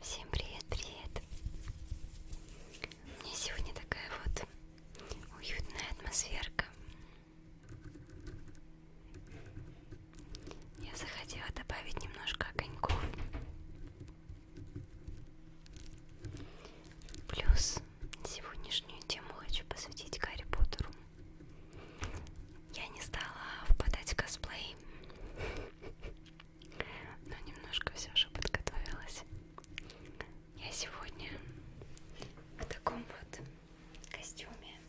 Всем привет, привет! У меня сегодня такая вот уютная атмосферка. Я захотела добавить немножко огоньков. Плюс сегодняшнюю тему хочу посвятить Гарри Поттеру. Я не стала впадать в косплей, но немножко все же подготовилась. Я сегодня в таком вот костюме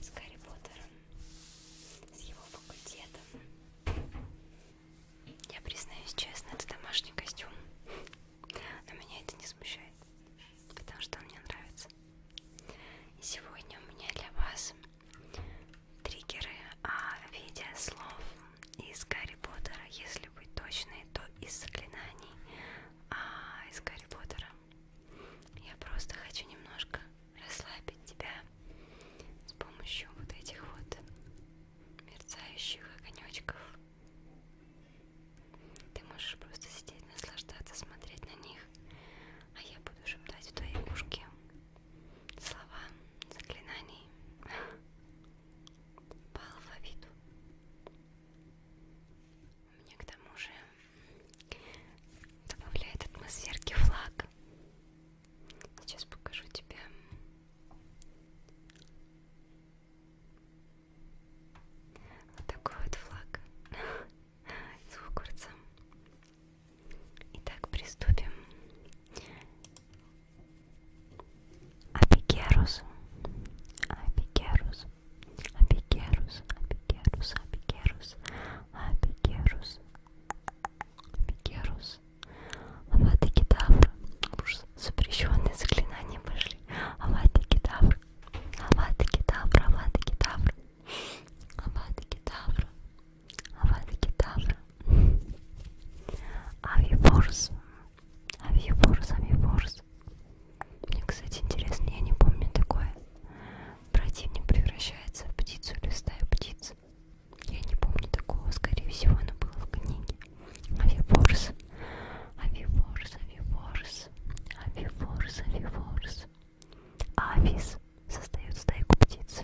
с Гарри Поттером, с его факультетом. Я признаюсь честно, это домашний костюм, но меня это не смущает потому что он мне нравится. И сегодня у меня для вас триггеры о а виде слов из Гарри Поттера, если быть точной, то из заклинаний, а из Гарри Поттера. Я просто хочу немножко расслабить тебя с помощью вот этих вот мерцающих огонечков. Ты можешь просто сидеть, наслаждаться, смотреть на них, а я буду шептать в твои ушки слова заклинаний по алфавиту. Мне к тому же добавляет атмосферки флаг. Сейчас покажу тебе. Вот такой вот флаг. Звукорца. Итак, приступим. Апикерус. Апикерус. Апикерус. Апикерус. Апикерус. Апикерус. Апикерус. Аваты кедавр. Уж запрещенные заклинания пошли. Аваты кедавр. Аваты кедавр. Аваты кедавр. Авада-кедавра, авада-кедавра. Авиворс, авиворс, авиворс. Мне, кстати, интересно, я не помню такое. Противник превращается в птицу или в стаю птиц. Я не помню такого, скорее всего, оно было в книге. Авиворс, авиворс, авиворс, авиворс, авиворс. Афис создает стайку птиц.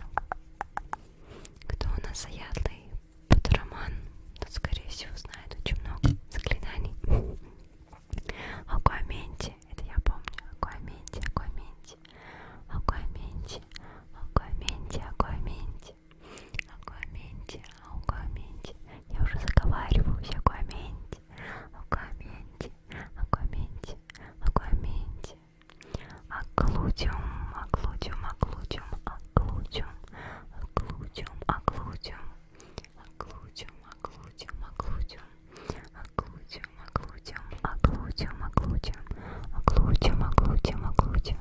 Кто у нас заядлый подроман, тот, скорее всего, знает очень много заклинаний. Акуаменти, это я помню. Акуаменти, акуаменти, акуаменти, акуаменти, акуаменти, акуаменти, акуаменти. Я уже заговариваюсь, акуаменти о комменте, о комменте, о комменте, оклудиум, оклудиум, оклудиум, оклудиум, оклудиум, оклудиум, оклудиум, оклудиум, оклудиум, оклудиум, оклудиум, оклудиум, оклудиум, оклудиум, оклудиум, оклудиум.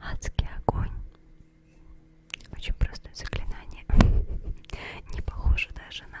Адский огонь. Очень простое заклинание. Не похоже даже на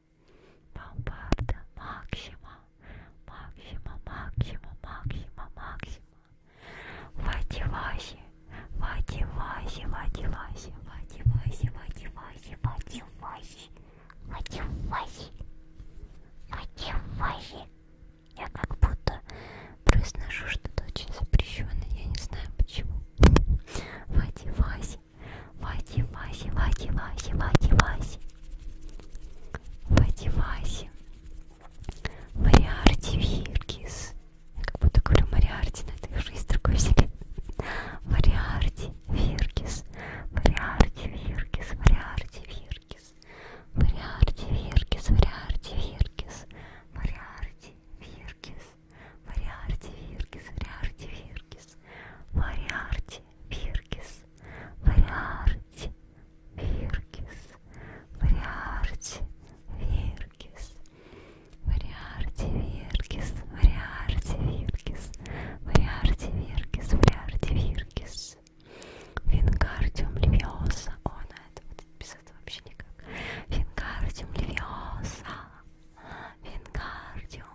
Бомбарда, максима, максима, максима, максима, максима. Вадиласи, вадиласи, вадиласи, вадиласи, вадиласи, вадиласи, вадиласи, вадиласи. Я как будто произношу что-то очень запрещенное, я не знаю почему. Вадиласи. Васи. Васи, Васи, Васи, Васи, Васи, Васи. Васи, Васи. Мариарти Виргис. Я как будто говорю Мариарти, но это уже из другой вселенной. Мариарти Виргис. Мариарти Виргис. Мариарти Виргис. Мариарти Виргис. Мариарти Виргис. Мариарти Виргис. Виргис, Мариарти Виргис, Мариарти Виргис, Мариарти Виргис, Мариарти Виргис, Мариарти Виргис, Мариарти Виргис, Мариарти Виргис, Мариарти Виргис, Мариарти Виргис, Вингардиум Левиоса, о, на это вот без этого вообще никак, Вингардиум Левиоса, Вингардиум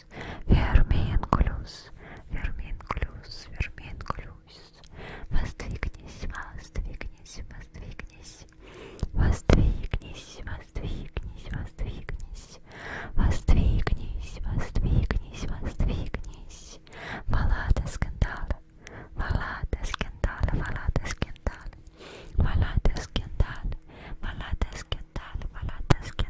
verminculus, verminculus, verminculus, verminculus. Воздвигнись, воздвигнись, воздвигнись. Воздвигнись, воздвигнись, воздвигнись. Воздвигнись, воздвигнись, воздвигнись. Баллада скандала, баллада скандала, баллада скандала. Баллада скандала, баллада скандала, баллада скандала.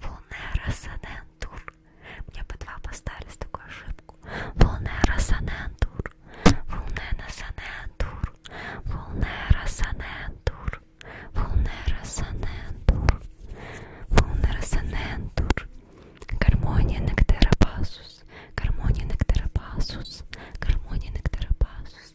Волнера Санентур. Мне по два поставили с такой ошибку. Волнера Санентур. Волнена Санентур. Волнера Санентур. Волнера Санентур. Волнера Санентур. Гармония Нектеропасус. Гармония Нектеропасус. Гармония Нектеропасус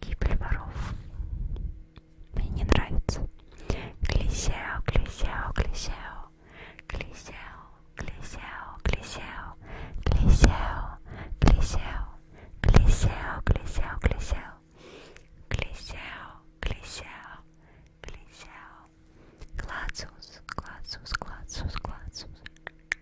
Гибель воров. Мне не нравится. Клисео, клисео, клисео. Клисео, клисео, клисео. Клисео, клисео. Клисео, клисео, клисео. Клисео, клисео. Клисео. Клацус, клацус, клацус, клацус.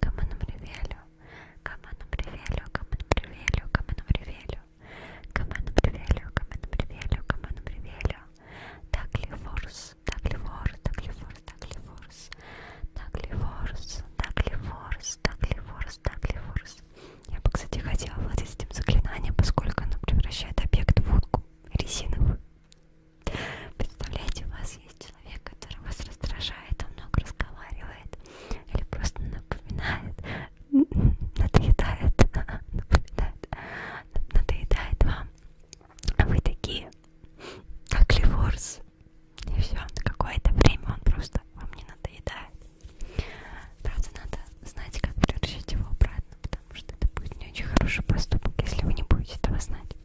кому нам ревелю, кому нам ревелю, кому нам ревелю, кому нам ревелю, кому нам ревелю, кому нам ревелю, кому нам ревелю, так ли форс, так ли форс, так ли форс, так ли форс, так ли форс, так ли форс, так ли форс, так ли форс. Я бы, кстати, хотела владеть этим заклинанием, поскольку оно превращает объект в утку резиновую. Представляете, у вас есть человек, который вас раздражает, он много разговаривает или просто напоминает, надоедает, напоминает, надоедает вам. А вы такие, как Ливорс. И все, на какое-то время он просто вам не надоедает. Правда, надо знать, как превращать его обратно, потому что это будет не очень хороший поступок, если вы не будете этого знать.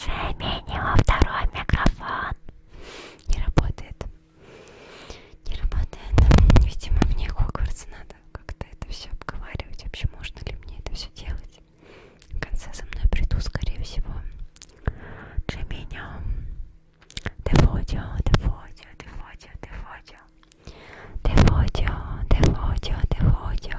Джейми, у него второй микрофон. Не работает. Не работает. Видимо, мне Хогвартс надо как-то это все обговаривать. Вообще, можно ли мне это все делать? В конце со мной приду, скорее всего. Джейми, Деводио, Деводио, Деводио, Деводио. Деводио, Деводио, Деводио.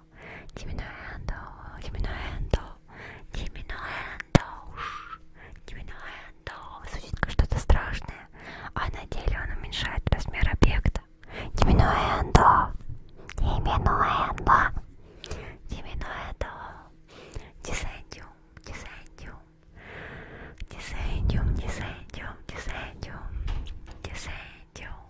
君のハンド君のハンド君のハンド君のハンド звучит как что-то страшное, а на деле он уменьшает размер объекта. Give me no hand, give me no hand, give me no hand. Десендиум, десендиум, десендиум, десендиум, десендиум, десендиум,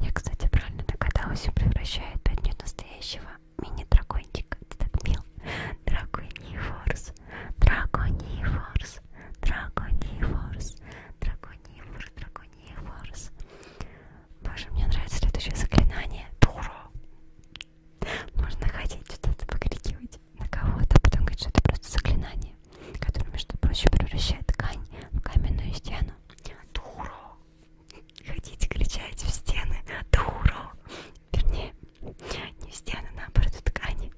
Я, кстати, правильно догадалась, он превращает пять дней настоящего мини-дракончика. Ты так мил. Драконий форс. Драконий форс. Драконий форс. Драконий форс. Драконий форс. Боже, мне нравится следующее заклинание. Дура. Можно ходить, что-то покрикивать на кого-то, а потом говорить, что это просто заклинание который, между прочим, превращает ткань в каменную стену. Дуро! Хотите кричать в стены? Дуро! Вернее, не в стены, наоборот, в ткани.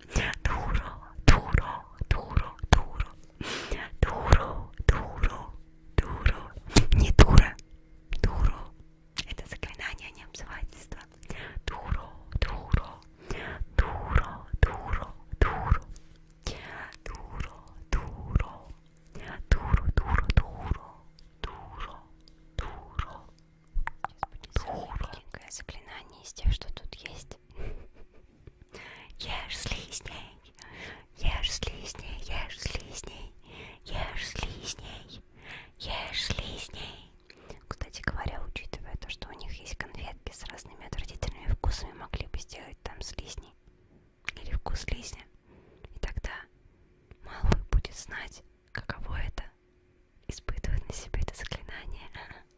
Дуро! Дуро! Дуро! Дуро! Дуро! Дуро! Дуро! Не дура! Дуро! Это заклинание, а не обзывательство. Дуро! Дуро! Дуро! Дуро! Дуро! duro, duro, duro, duro, duro, duro, duro. Маленькое заклинание из тех, что тут есть. Ешь слизней, ешь слизней, ешь слизней, ешь слизней, ешь слизней. Кстати говоря, учитывая то, что у них есть конфетки с разными отвратительными вкусами, могли бы сделать там слизни или вкус слизня. И тогда Малфой будет знать, каково это испытывать на себе это заклинание.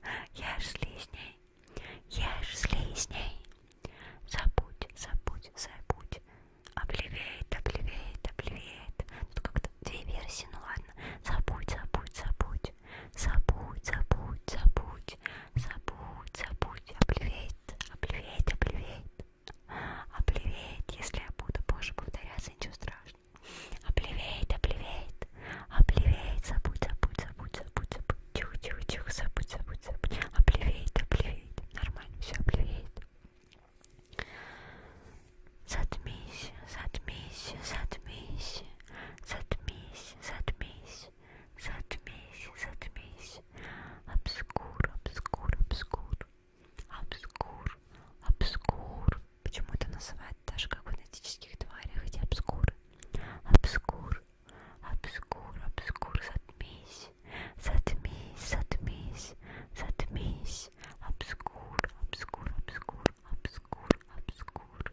Я ж слизней, я ж слизней. Забудь, забудь, забудь. Облевеет, облевеет, облевеет. Тут как-то две версии, ну ладно. Забудь, забудь, забудь. Забудь, забудь, забудь. Забудь, забудь, облеветь, облеветь, облеветь, облеветь, если я буду позже повторяться, ничего страшного. Облеветь, облеветь, облеветь, забудь, забудь, забудь, забудь, забудь, тихо, тихо, тихо, забудь, забудь, забудь, облеветь, облеветь, нормально, все, облеветь. Затмись, затмись, затмись, затмись, затмись, затмись, затмись, обскур, обскур, обскур, обскур, обскур. Почему это называют даже как в энергетических тварях эти обскуры? Обскур, обскур, обскур, затмись, затмись, затмись, затмись, обскур, обскур, обскур, обскур, обскур,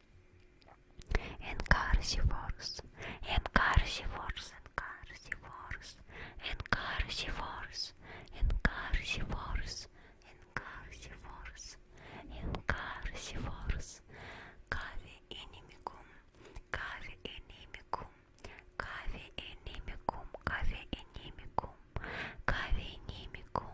Encarnivores, encarnivores, encarnivores, encarnivores, encarnivores, encarnivores, encarnivores. Cave inimicum, cave inimicum, cave inimicum, cave inimicum, cave inimicum,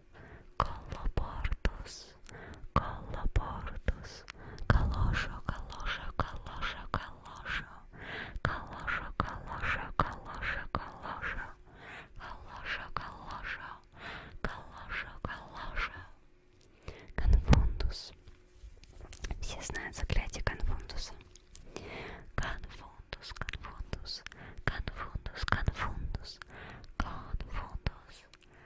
коллабордус, коллабордус, калоша, калоша, калоша, калоша, калоша, калоша, калоша, калоша, калоша, калоша, калоша, калоша, конфундус. Все знают заклятие конфундуса. Конфундус, конфундус, конфундус, конфундус, конфундус, конфундус,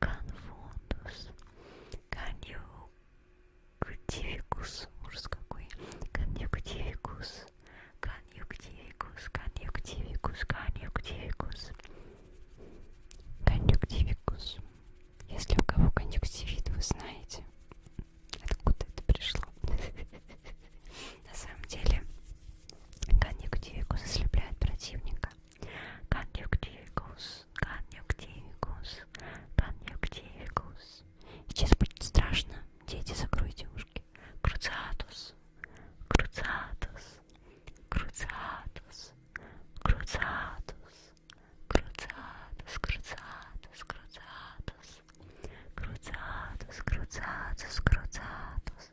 Конфундус, конъюнктивикус, ужас какой, конъюнктивикус, конъюнктивикус, конъюнктивикус, конъюнктивикус, конъюнктивикус. Если у кого конъюнктивит, вы знаете, откуда это пришло. На самом деле, конъюнктивикус ослепляет противника. Конъюнктивикус, конъюнктивикус, конъюнктивикус. Сейчас будет страшно. Дети, закройте ушки. Круциатус, круциатус, круциатус, круциатус, круциатус, круциатус, круциатус, круциатус, круциатус, круциатус,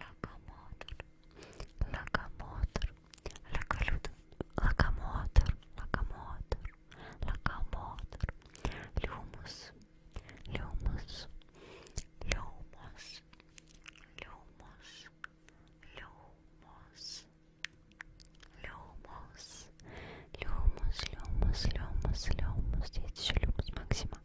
локомотор, локомотор, локомотор, локомотор, локомотор, локомотор, люмус, люмус, люмус, люмус, люмус, люмус, люмус, люмус, люмус, люмус, здесь еще люмус максима.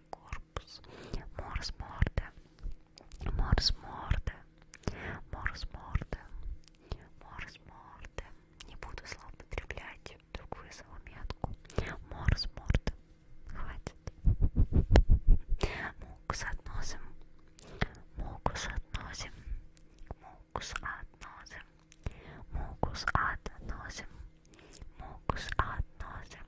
корпус, морс морда, морс морда, морс морда, морс морда. Не буду злоупотреблять другую заметку. Морс морда. Хватит. Мукус относим. Мукус относим. Мукус относим. Мукус относим. Мукус относим.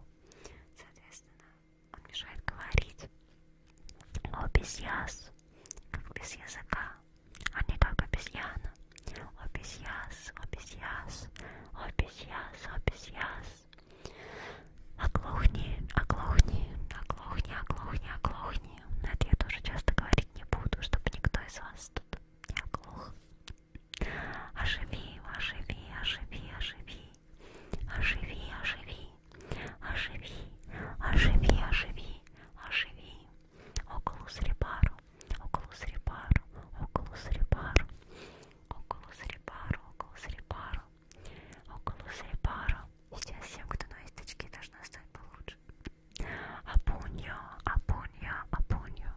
лапу. Соответственно, он мешает говорить. О, без яс, как без языка, а не как обезьяна. О, без яс, о, без яс, о, без яс, о, без яс. Оглохни, оглохни, оглохни, оглохни, оглохни. Но это я тоже часто говорить не буду, чтобы никто из вас тут не оглох. Оживи, оживи, оживи, оживи, оживи, оживи, оживи, оживи, оживи, оживи. Околус репару, околус репару, околус репару, околус репару, околус репару, околус репару. Сейчас всем, кто на источке, должна стать получше. Апуньо, апуньо, апуньо,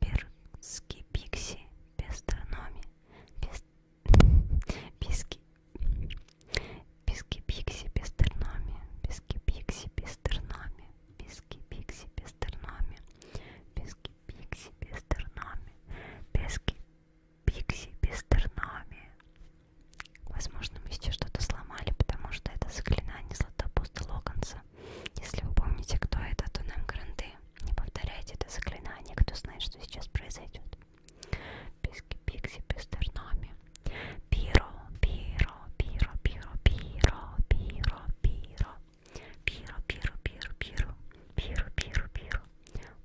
Пирский пикси, пестрономи, пес... писки, писки пикси, пестрономи, писки пикси, пестрономи, писки пикси, пестрономи, писки пикси, пестрономи, писки пикси, пестрономи. Возможно, мы сейчас что-то сломали, потому что это заклинание Златопуста Локонса. Если вы помните, кто это, то нам гранты. Не повторяйте это заклинание, кто знает, что сейчас произойдет. Писки, пикси, пестерноми. Пиро, пиро, пиро, пиро, пиро, пиро, пиро. Пиро, пиро, пиро, пиро, пиро, пиро, пиро.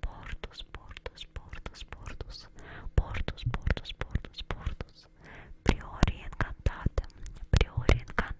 Портус, портус, портус, портус. Портус, портус, портус, портус. Приори инкантатом, приори инкантатом.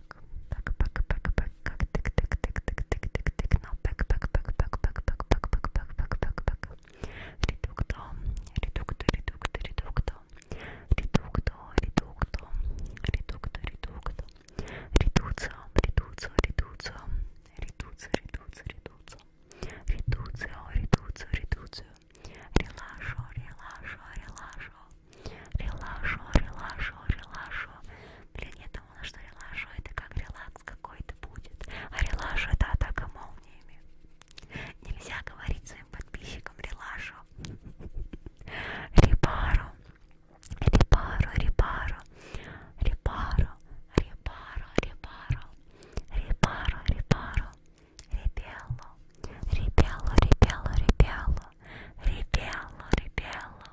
пэк пэк пэк пэк пэк как тык тык тык тык тык тык тык но пэк пэк пэк пэк пэк пэк пэк пэк пэк пэк пэк пэк редукто редукто редукто редукто редукто редукто редукто редукто редукция редукция редукция редукция редукция редукция редукция редукция редукция релашо релашо релашо релашо релашо релашо блин нет думала, что релажу это как релакс какой-то будет, а релажу это атака молниями. Нельзя говорить своим подписчикам релажу. Репару, репару, репару, репару, репару, репару, репару, репару, репелу, репелу, репелу, репелу, репелу, репелу.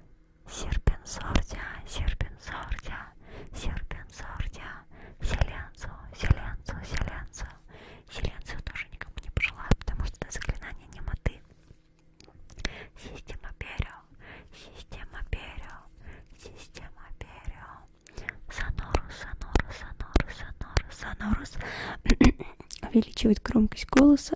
серпенсордия, серпенсордия, серпенсордия, селенцу, селенцу, селенцу. Селенцию тоже никому не пожелаю, потому что это заклинание немоты. Система перио, система перио, система перио. Сонорус, сонорус, сонорус, сонорус, сонорус. Увеличивает громкость голоса.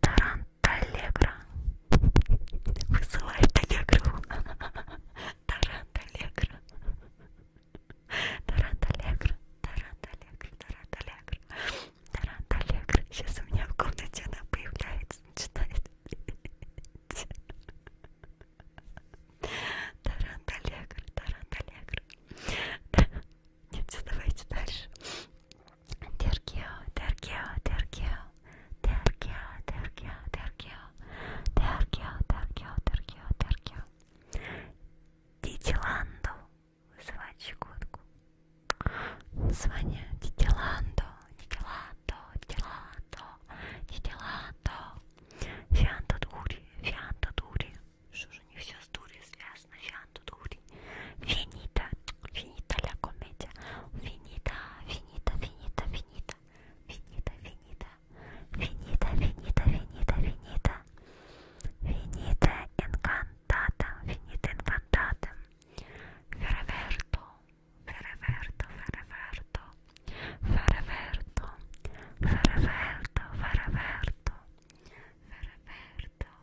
Таранталегра вызывает аллегру. Таранталегра. Таранталегра. Таранталегра. Таранталегра. Таранталегра. Сейчас у меня в комнате она появляется, начинает петь. Таранталегра. Таранталегра. Да. Нет, давайте дальше. Тергео, Тергео, Тергео, Тергео, Тергео, Тергео, Тергео, Тергео, Тергео, Тергео. Титиланду вызывать щекотку. Звоня Титиланду, Титиланду, Титиланду, Титиланду. Фианта дури, фианта дури. Что же не все с дури связано? snasciando duri finita finita la commedia finita finita finita finita finita finita finita finita finita finita finita incantata finita incantata ferverto ferverto ferverto ferverto ferverto ferverto Ferverto,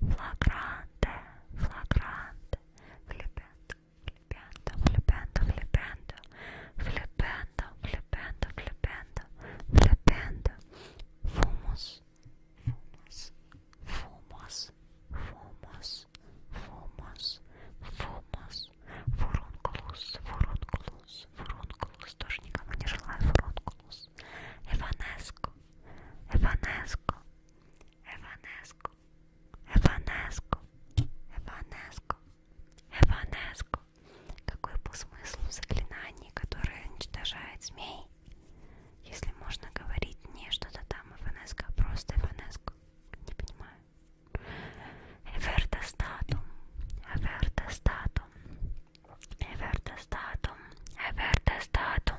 флагранте, флагранте, флипенто, флипенто, флипенто, флипенто, флипенто, флипенто, флипенто, флипенто, фумус, фумус, фумус, фумус, фумус, фумус, фурункулус, фурункулус, фурункулус, тоже никому не желаю фурункулус, Evanesco, Evanesco, Evanesco, Evanesco, Evanesco, Evanesco. Какой был смысл в заклинании, которое уничтожает змей? Если можно говорить не что-то там Эванеско, а просто Эванеско. Не понимаю. Эвертостатум, Эвертостатум, Эвертостатум, Эвертостатум.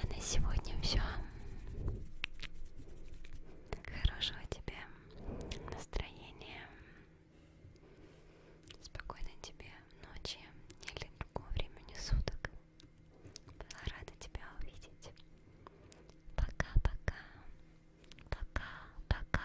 А на сегодня все. Хорошего тебе настроения. Спокойной тебе ночи или другого времени суток. Была рада тебя увидеть. Пока-пока. Пока-пока.